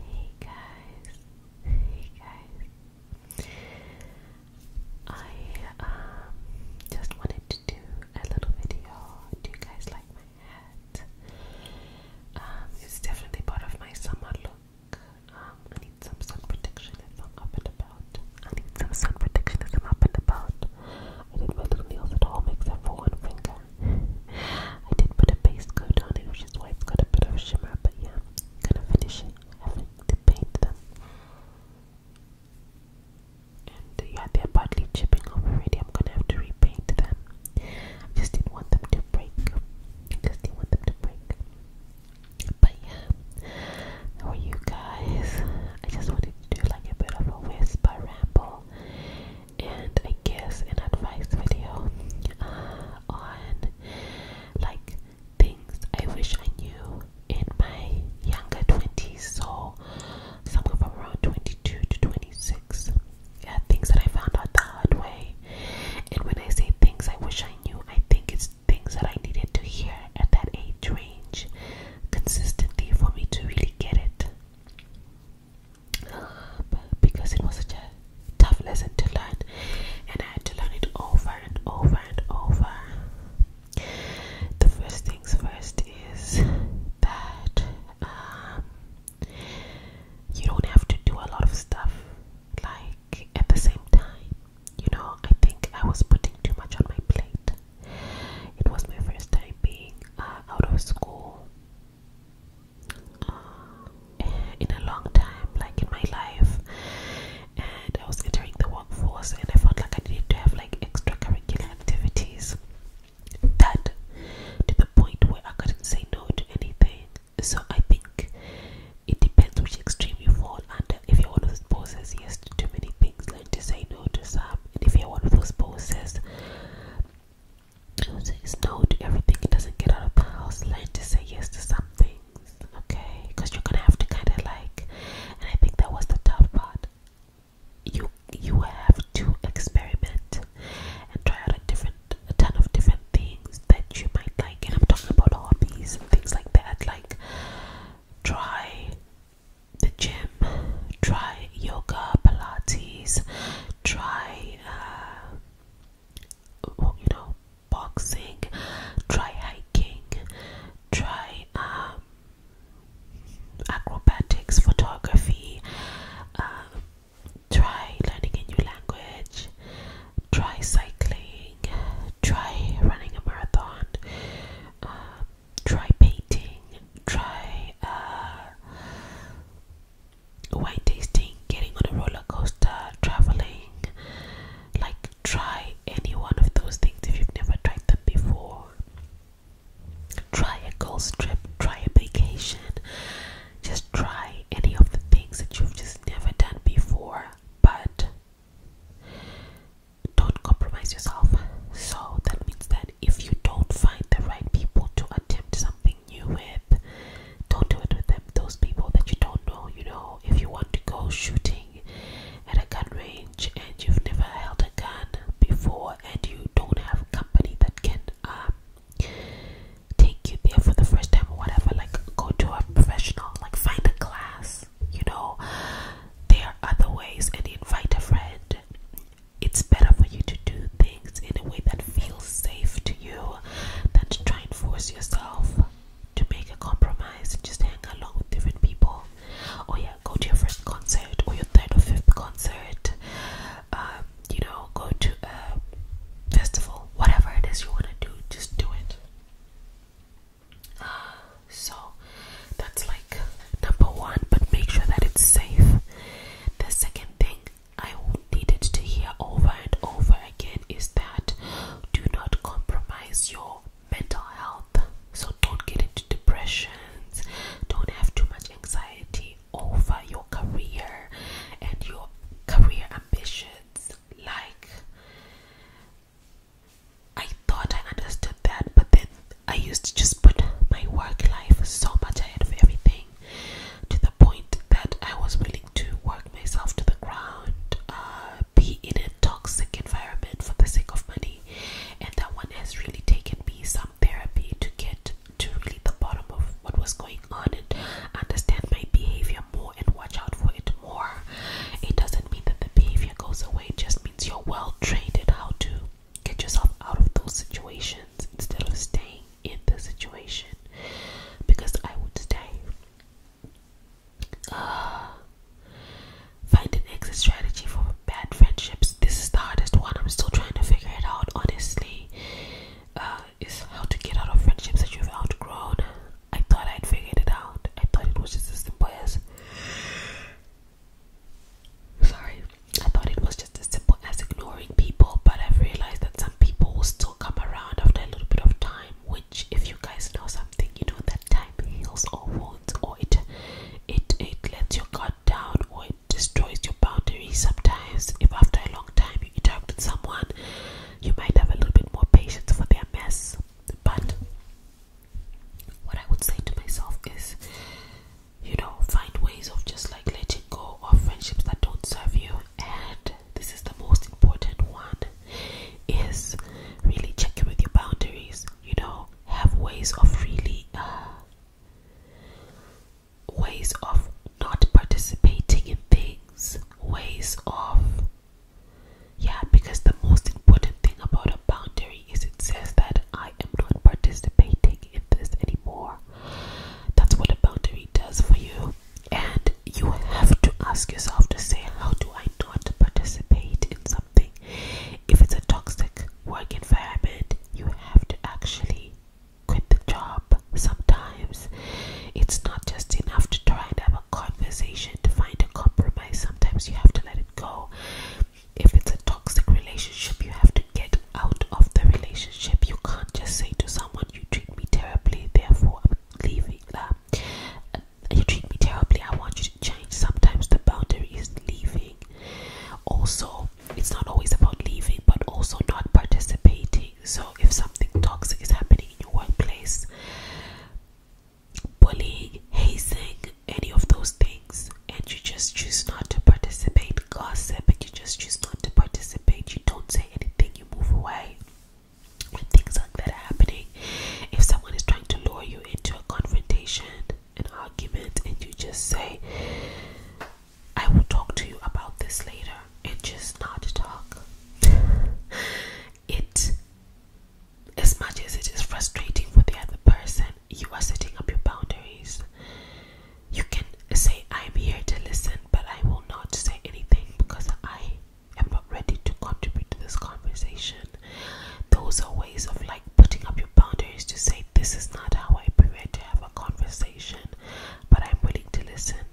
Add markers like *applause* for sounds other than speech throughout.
Hey guys, hey guys. I um just wanted to do a little video. Do you guys like my hat? Um, it's definitely part of my summer look. Um, I need some sun protection if i up and about. I need some sun protection if i up and about. I did my little nails at all, except for one finger. I did put a base coat on it, which is why it's got a bit of shimmer, but yeah, gonna finish it, having to paint them. And uh, yeah, they're partly chipping already. I'm gonna have to repaint them. I just didn't want them to break. I just didn't want them to break. But yeah, how are you guys? I just wanted to do like a bit of a whisper ramble and I guess an advice video uh, on like things I wish I knew in my younger 20s, so somewhere from around 22 to 26. Yeah, things that I found out the hard way. And when I say things I wish I knew, I think it's things that I needed to hear at that age range consistently for me to really get it because it was such a tough lesson to learn, and I had to learn it over and over and over. The first things first is that um, you don't have to do a lot of stuff like at the same time. You know, I think I was putting too much on my plate. It was my first time being uh, out of school. Um, in a long time, like in my life. And I was entering the workforce, and I felt like I needed to have like extracurricular activities that to the point where I couldn't say no to anything. So I think it depends which extreme you fall under. If you're one of those bosses, yes too many things, learn to say no to some. And if you're one of those bosses Says no to everything. It doesn't get out of the house. Learn to say yes to some things, okay? Because you're gonna have to kind of like, and I think that was the tough part. You you have to experiment and try out a different, a ton of different things that you might like. And I'm talking about hobbies and things like that. Like try the gym, try yoga, Pilates, try uh, you know boxing try hiking try um, acrobatics photography um, try learning a new language try cycling try running a marathon um, try painting try uh, wine tasting, getting on a roller coaster, traveling. Like, try any one of those things if you've never tried them before. Try a girl's strip. try a vacation. Just try any of the things that you've just never done before, but don't compromise yourself. So that means that if you don't find the right people to attempt something, helping you with, don't do it with them. Those people that you don't know, you know, if you want to go shooting at a gun range and you've never held a gun before and you don't have company that can um, take you there for the first time or whatever, like go to a professional, like find a class, you know, there are other ways and invite a friend it's better for you to do things in a way that feels safe to you than to try and force yourself to make a compromise and just hang along with different people. Or yeah, go to your first concert or your third or fifth concert. Um, you know, go to a festival, whatever it is you want to do, just do it. so that's like number one, but make sure that it's safe. The second thing I needed to hear over and over again is that do not compromise your mental health. So don't get into depressions, don't have too much anxiety over your career and your career ambitions. Like, I thought I understood that, but then I used to just put my work life so much ahead of everything to the point that I was willing to work myself to the ground, uh, be in a toxic environment for the sake of money. And that one has really taken me some therapy to get to really the bottom of what was going on and understand my behavior more and watch out for it more. It doesn't mean that the behavior goes away, it just means you're well trained in how to Get yourself out of those situations instead of staying in the situation because I would stay. Uh, find an exit strategy for bad friendships. This is the hardest one. I'm still trying to figure it out, honestly. Uh, is how to get out of friendships that you've outgrown. I thought I'd figured it out. I thought it was just as simple as. *sighs* Sorry. I thought it was just as simple as ignoring people, but I've realized that some people will still come around after a little bit of time. Which, if you guys know something, you know that time heals all wounds, or it it it lets your guard down, or it destroys your boundaries. Sometimes, if after a long time you interact with someone, you might have a little bit more patience for their mess. But what I would say to myself is you know, find ways of just like letting go of friendships that don't serve you. And this is the most important one is really checking with your boundaries, you know, have ways of really uh ways of not participating in things, ways of yeah, because the most important thing about a boundary is it says that I am not participating in this anymore. That's what a boundary does for you. And you have to ask yourself to say, How do I not participate in something? If it's a toxic work environment, you have to actually quit the job sometimes. It's not just enough to try and have a conversation to find a compromise, sometimes you have to let it go. If it's a toxic relationship, you have to get out of the relationship. You can't just say to someone, "You treat me terribly, therefore I'm leaving." Um, uh, you treat me terribly. I want you to change. Sometimes the boundary is leaving. Also, it's not always about leaving, but also not participating. So, if something toxic is happening in your workplace, bullying, hazing, any of those things, and you just choose not to participate, gossip but you just choose not to participate. You don't say anything, you move away. When things like that are happening, if someone is trying to lure you into a confrontation, an argument, and you just say, I will talk to you about this later, and just not talk, it, as much as it is frustrating for the other person, you are setting up your boundaries. You can say, I'm here to listen, but I will not say anything because I am not ready to contribute to this conversation. Those are ways of like putting up your boundaries to say, This is not how I prepare to have a conversation, but I'm willing to listen.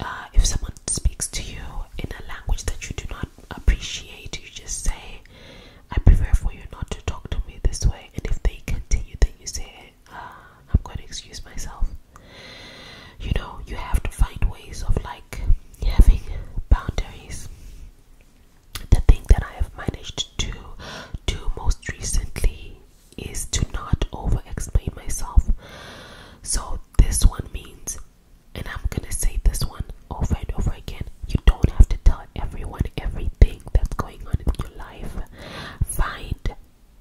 Uh, if someone speaks to you in a language that you do not appreciate, you just say, I prepare for you not to talk to me this way. And if they continue, then you say, I'm going to excuse myself. You know, you have to find ways of like having boundaries. The thing that I have managed to do most recently is to not over explain myself. So, this one means, and I'm gonna say this one over and over again you don't have to tell everyone everything that's going on in your life. Find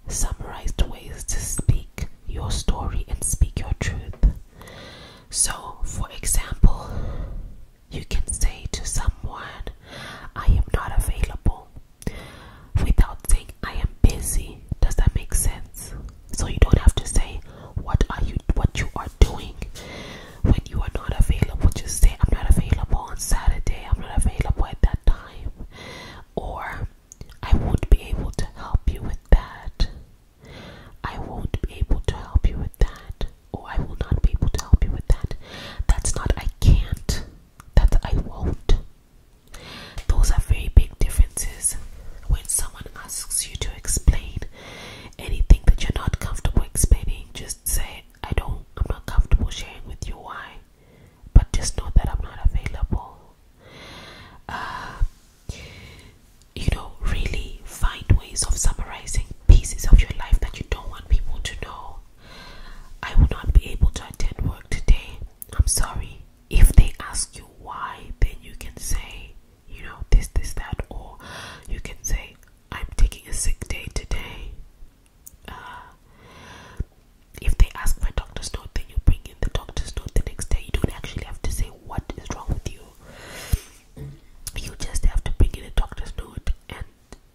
summarized ways to speak your story and speak your truth. So, for example, you can say to someone, I am not available without saying, I am busy. Does that make sense? So, you don't have to say, What are you? What you are doing when you are not available? Just say, I'm not available on Saturday, I'm not available at that time, or I won't be able to help you with that. I won't be able to help you with that, or I will not be able to help you with that. That's not I can't, that's I won't. Those are very big differences when someone asks you to explain anything that you're not comfortable explaining. Just say, I don't, I'm not comfortable sharing with you why but just know that I'm not available. Uh, you know, really find ways of summarizing pieces of your life that you don't want people to know. I will not be able to attend work today. I'm sorry. If they ask you why, then you can say, you know, this, this, that, or you can say, I'm taking a sick day today. Uh, if they ask for a doctor's note, then you bring in the doctor's note the next day. You don't actually have to say what is wrong with you. You just have to bring in the doctor's note, and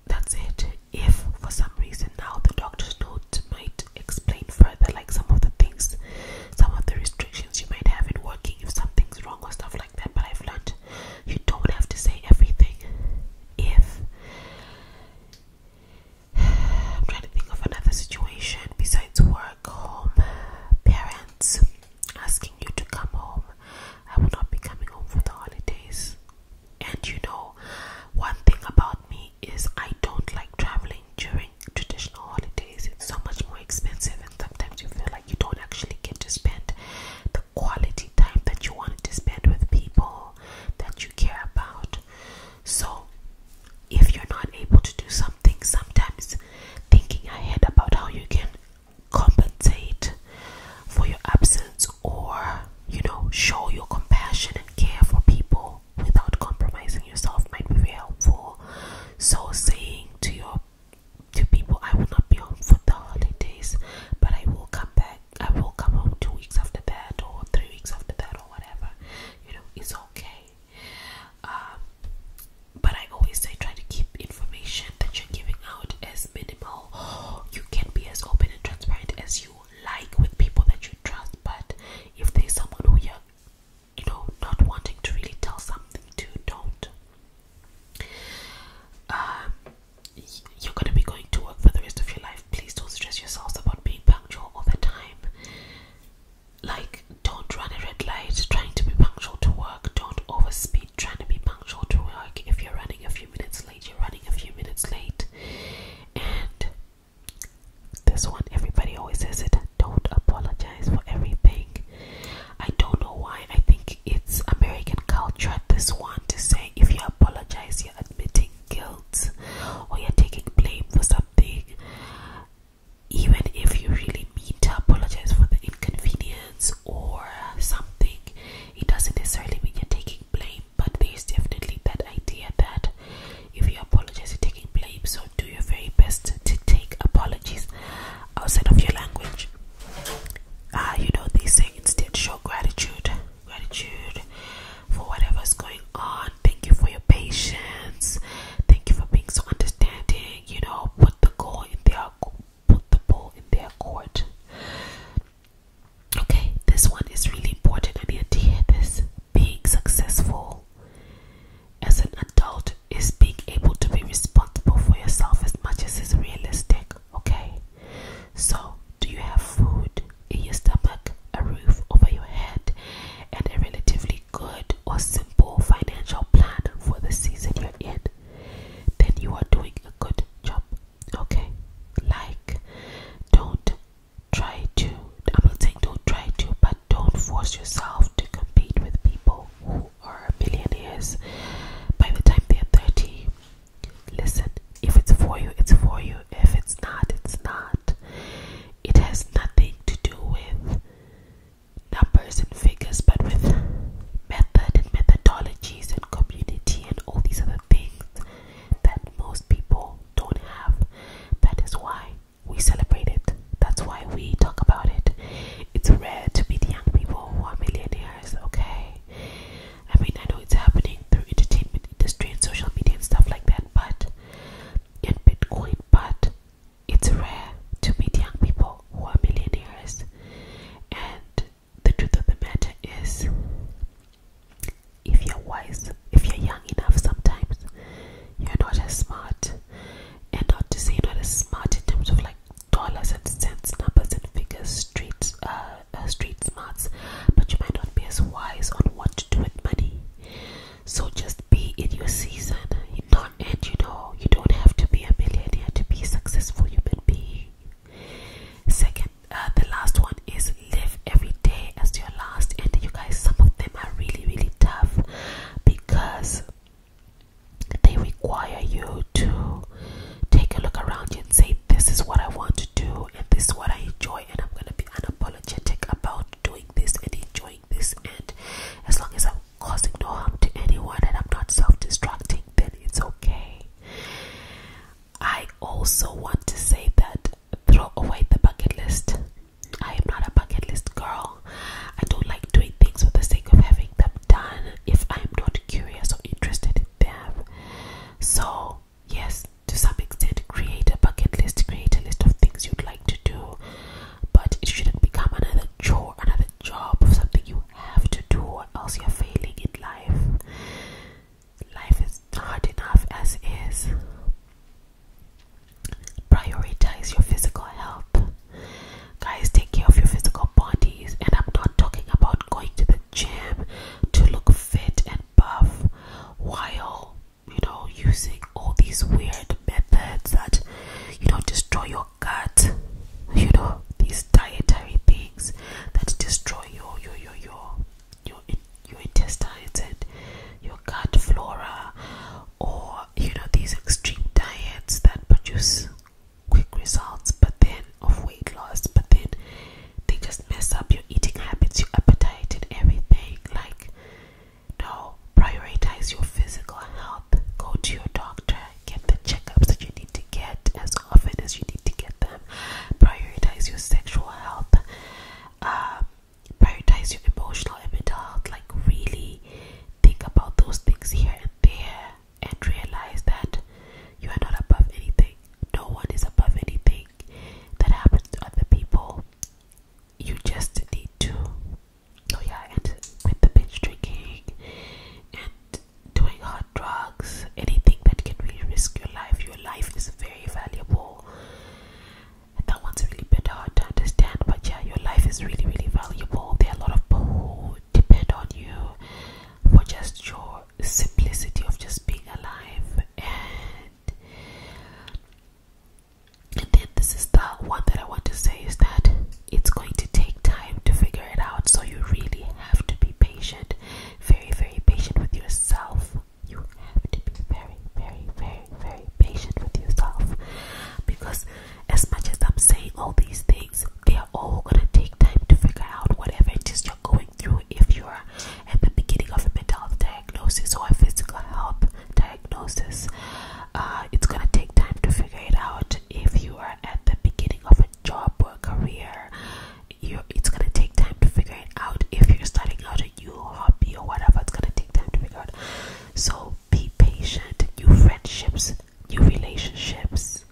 that's it. If for some reason now the doctor's note might explain further, like some of the things, some of the restrictions you might have in working, if something's wrong or stuff like that. But I've learned you don't have to say everything. If I'm trying to think of another situation besides work, home, parents asking you to come home. I will not be coming home for the holidays. And you know, one thing about me is I don't like traveling during traditional holidays. It's so much more expensive, and sometimes you feel like you don't actually get to spend the quality time that you wanted to spend with people that you care about. So, if you're not able to do something, sometimes thinking ahead about how you can compensate for your absence or, you know, show your compassion and care for people without compromising yourself might be very helpful. So, saying to your to people, I will not be home for the holidays, but I will come back I will come home two weeks after that or three weeks after that or whatever. You know, it's okay. Um, but I always say try to keep information that you're giving out as minimal. You can be as open and transparent as you like with people that you trust, but if there's someone who you're you know not wanting to really tell something to, don't. Um, you're going to be going to work for the rest of your life. Please don't stress yourselves about being punctual all the time. Like, don't run a red light trying to be punctual to work. Don't overspeed trying to be punctual to work. If you're running a few minutes late, you're running a few minutes late. And this one, everybody always says it don't apologize for everything. I don't know why. I think it's American culture, this one, to say if you're apologize, you're admitting guilt, or you're taking blame for something, even if you really mean to apologize for the inconvenience or something, it doesn't necessarily mean you're taking blame. But there's definitely that idea that if you apologize, you're taking blame, so do your very best to take apologies outside of your language. Ah, you know, they say instead show gratitude gratitude for whatever's going on. Thank you for your patience. Thank you for being so understanding. You know, put the goal in their put the ball in their court. Okay, this one is really important. I need to hear this. Being successful as an adult is being able to be responsible for yourself as much as is realistic. Okay, so do you have food? in your stomach, a roof over your head, and a relatively good or simple financial plan for the season you're in, then you are doing a good job. Okay? Like, don't try to, I'm not saying don't try to, but don't force yourself to compete with people who are millionaires by the time they're 30 Listen, if it's for you, it's for you. If it's not, it's not. It has nothing to do with numbers and figures, but with method and methodologies and community and all these other things that most people don't have. That is why we celebrate it. That's why we talk about it. It's rare to meet young people who are millionaires, okay? I mean, I know it's happening through entertainment industry and social media and stuff like that, but in Bitcoin, but it's rare to meet young people who are millionaires. And the truth of the matter is, if you're wise, if you're young enough, sometimes you're not as smart. And not to say you're not as smart in terms of like dollars and cents, numbers and figures, streets, uh, uh, street smarts, but you might not be as wise on what to do with money. So just be in your season. Not, and you know, you don't have to be a millionaire to be a successful human being. Second, uh, the last one is live every day as your last. And you guys, some of them are really, really tough because they require you to take a look around you and say, This is what I want to do and this is what I enjoy and I'm gonna be unapologetic about doing this and enjoying this and as long as I'm causing no harm to anyone and I'm not self-destructing then it's okay. I also want to say that throw away the bucket list. I am not a bucket list girl. I don't like doing things for the sake of having them done if I'm not curious or interested in them. So yes, to some extent, create a bucket list, create a list of things you'd like to do, but it shouldn't become another chore, another job, of something you have to do, or else you're failing in life. Life is hard enough as is. Prioritize your physical health. Guys, take care of your physical bodies, and I'm not talking about going to the gym to look fit and while you know using all these weird methods that you know destroy your gut you know these dietary things that destroy your your your your, your intestines and your gut flora or you know these extreme diets that produce quick results but then of weight loss but then they just mess up your eating habits, your appetite, and everything. Like, no, prioritize your physical health. Go to your doctor, get the checkups that you need to get as often as you need to get them. Prioritize your sexual health. Um, prioritize your emotional and mental health. Like, really think about those things here and there and realize that you are not above anything no one is above anything that happens to other people. You just need to, oh yeah, and with the binge drinking and doing hard drugs, anything that can really risk your life, your life is very valuable. And that one's really been to understand, but yeah, your life is really, really valuable. There are a lot of people who depend on you for just your simplicity of just being alive and then this is the one that I want to say is that it's going to take time to figure it out. So you really have to be patient. Very, very patient with yourself. You have to be very, very, very, very patient with yourself. Because as much as I'm saying all these things, they are all gonna take time to figure out whatever it is you're going if you are at the beginning of a mental health diagnosis or a physical health diagnosis. Uh, it's going to take time to figure it out. If you are at the beginning of a job or career, you it's going to take time to figure it out. If you're starting out a new hobby or whatever, it's going to take time to figure out. So be patient. New friendships, new relationships,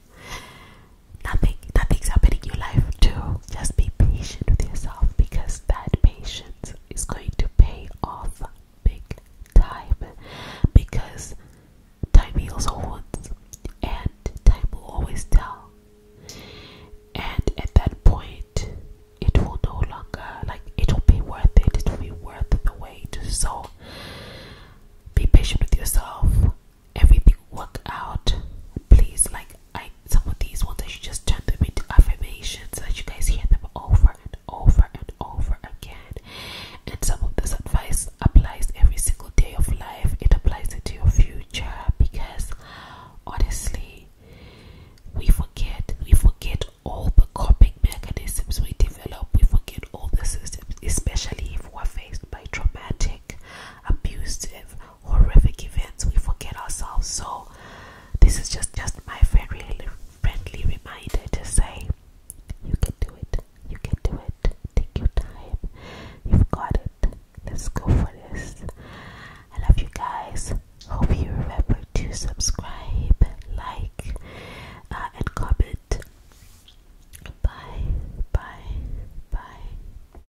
nothing nothing's happening in your life too just be patient with yourself because that patience is going to pay off big time because time heals all wounds and time will always tell and at that point it will no longer like it will be worth it it will be worth the wait so be patient with yourself everything work out. Please, like I some of these ones I should just turn them into affirmations that you guys hear them over and over and over again. And some of this advice applies every single day of life. It applies into your future because honestly we forget we forget all the coping mechanisms we develop, we forget all the systems, especially if we're faced by traumatic, abusive horrific events we forget ourselves so this is just just my friendly friendly reminder to say you can do it you can do it take your time you've got it let's go for this i love you guys hope you remember to subscribe like uh, and comment bye bye bye